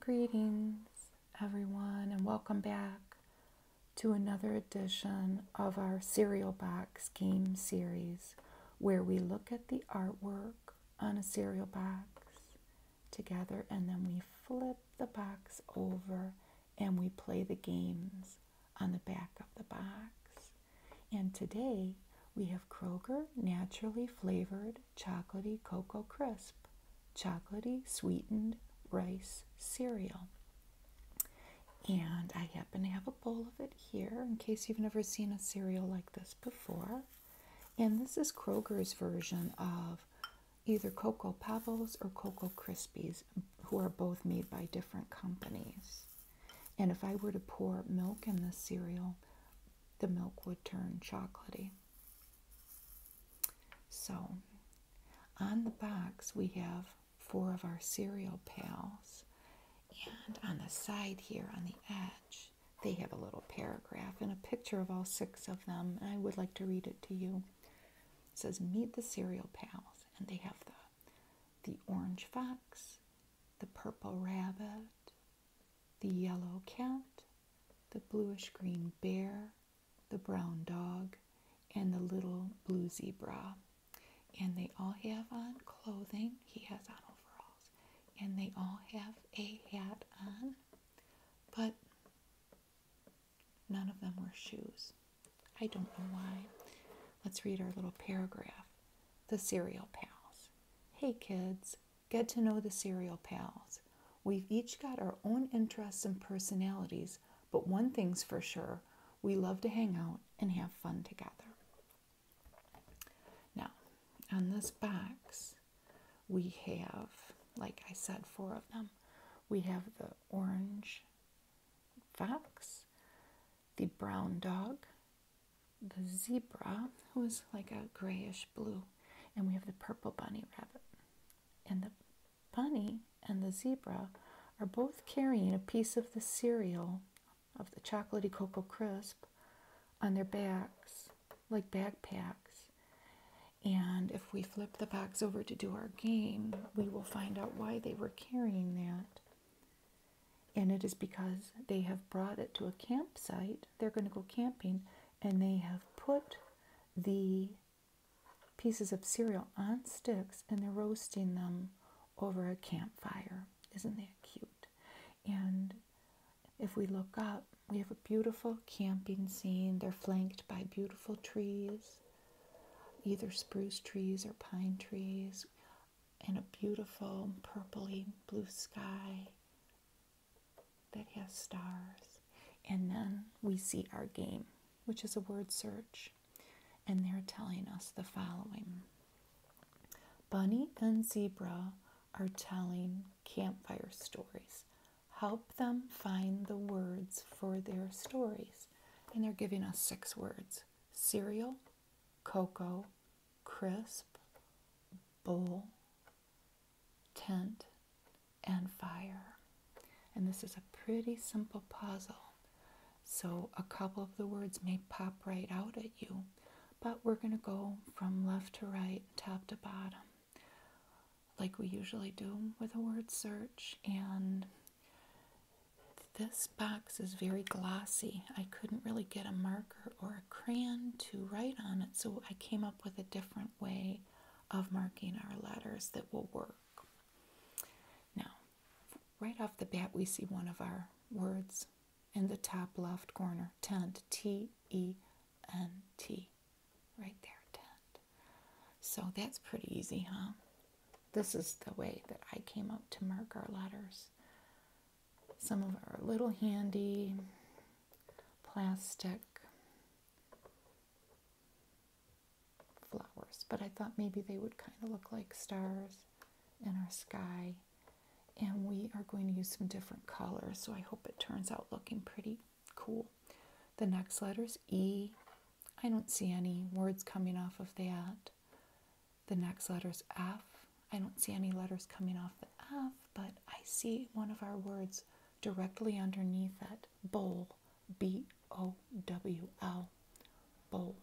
Greetings, everyone, and welcome back to another edition of our Cereal Box Game Series, where we look at the artwork on a cereal box together and then we flip the box over and we play the games on the back of the box. And today we have Kroger Naturally Flavored Chocolatey Cocoa Crisp, Chocolatey Sweetened Rice Cereal. And I happen to have a bowl of it here in case you've never seen a cereal like this before. And this is Kroger's version of either Cocoa Pebbles or Cocoa Krispies, who are both made by different companies. And if I were to pour milk in this cereal, the milk would turn chocolatey. So, on the box, we have four of our cereal pals, and on the side here, on the edge, they have a little paragraph and a picture of all six of them. And I would like to read it to you. It says, Meet the cereal pals, and they have the the orange fox, the purple rabbit, the yellow cat, the bluish green bear, the brown dog, and the little blue zebra. And they all have on clothing. He has on overalls. And they all have a hat on, but none of them wear shoes. I don't know why. Let's read our little paragraph the Cereal Pals. Hey kids, get to know the Cereal Pals. We've each got our own interests and personalities, but one thing's for sure we love to hang out and have fun together. Now, on this box, we have, like I said, four of them. We have the orange fox, the brown dog, the zebra, who is like a grayish blue, and we have the purple bunny rabbit. And the bunny and the zebra are both carrying a piece of the cereal of the chocolatey cocoa crisp on their backs, like backpacks. And if we flip the box over to do our game, we will find out why they were carrying that. And it is because they have brought it to a campsite, they're going to go camping, and they have put the pieces of cereal on sticks and they're roasting them over a campfire. Isn't that cute? And if we look up, we have a beautiful camping scene. They're flanked by beautiful trees, either spruce trees or pine trees in a beautiful purpley blue sky that has stars. And then we see our game, which is a word search. And they're telling us the following Bunny and Zebra are telling campfire stories. Help them find the words for their stories and they're giving us six words cereal, cocoa, crisp, bowl, tent, and fire. And this is a pretty simple puzzle. So a couple of the words may pop right out at you, but we're going to go from left to right, top to bottom, like we usually do with a word search. And this box is very glossy. I couldn't really get a marker or a crayon to write on it, so I came up with a different way of marking our letters that will work. Now, right off the bat, we see one of our words in the top left corner tent, T E N T. Right there, 10. So that's pretty easy, huh? This is the way that I came up to mark our letters. Some of our little handy plastic flowers, but I thought maybe they would kind of look like stars in our sky. And we are going to use some different colors, so I hope it turns out looking pretty. Cool. The next letter is E. I don't see any words coming off of that. The next letter is F. I don't see any letters coming off the F, but I see one of our words directly underneath that Bowl. B O W L. Bowl.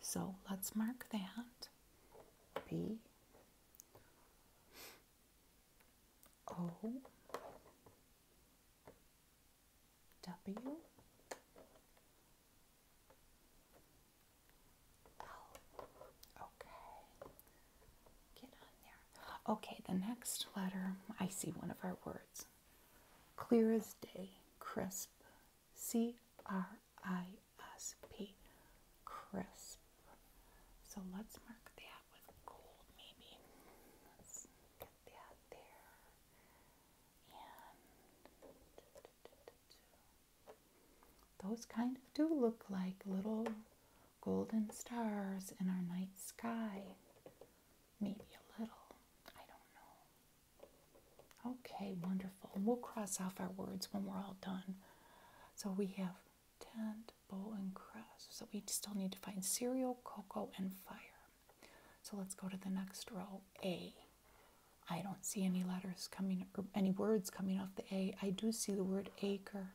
So let's mark that. B O W L. Okay. Get on there. Okay, the next letter, I see one of our words. Clear as day, crisp. C R I S P. Crisp. So let's mark that with gold maybe. get that there. And those kind of do look like little golden stars in our night sky. Maybe a little. I don't know. Okay, wonderful. We'll cross off our words when we're all done. So we have tent, bowl, and crust. So we still need to find cereal, cocoa, and fire. So let's go to the next row, A. I don't see any letters coming or any words coming off the A. I do see the word acre,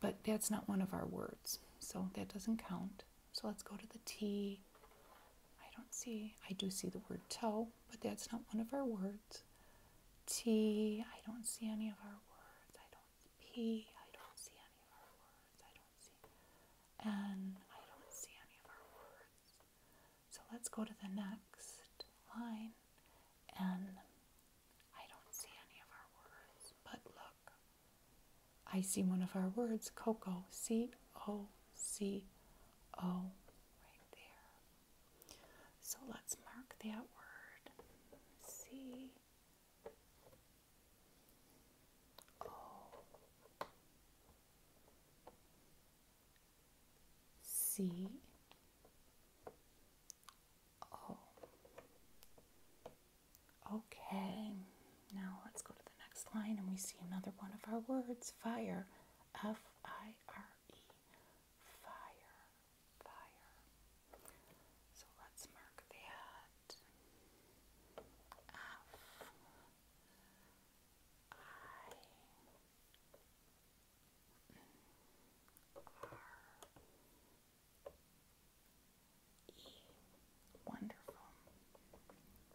but that's not one of our words, so that doesn't count. So let's go to the T. I don't see, I do see the word toe, but that's not one of our words. T, I don't see any of our words. I don't P, I don't see any of our words. I don't see N, I don't see any of our words. So let's go to the next line. And I I don't see any of our words. But look, I see one of our words, Coco. C O C O, right there. So let's mark that word. C O C O. Okay, now let's go to the next line and we see another one of our words fire. F I R F-I-R-E, fire, So let's mark that. F I mm, R E. Wonderful.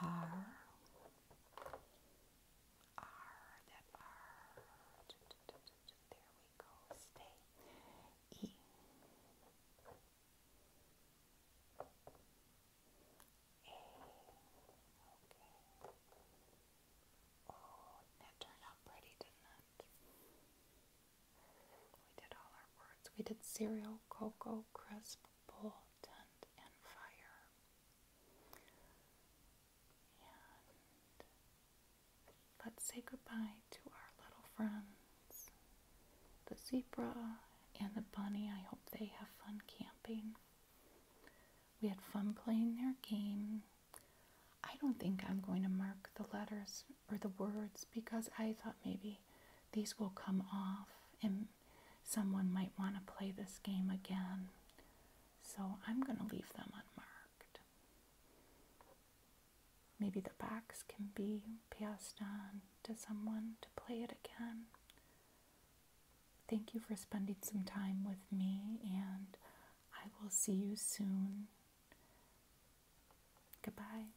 R R that R there we go stay E A okay Oh that turned out pretty didn't it? We did all our words. We did cereal, cocoa, crisp, important in fire. let's say goodbye to our little friends, the zebra and the bunny. I hope they have fun camping. We had fun playing their game. I don't think I'm going to mark the letters or the words because I thought maybe these will come off and someone might want to play this game again. So I'm going to leave them unmarked. Maybe the box can be passed on to someone to play it again. Thank you for spending some time with me, and I will see you soon. Goodbye.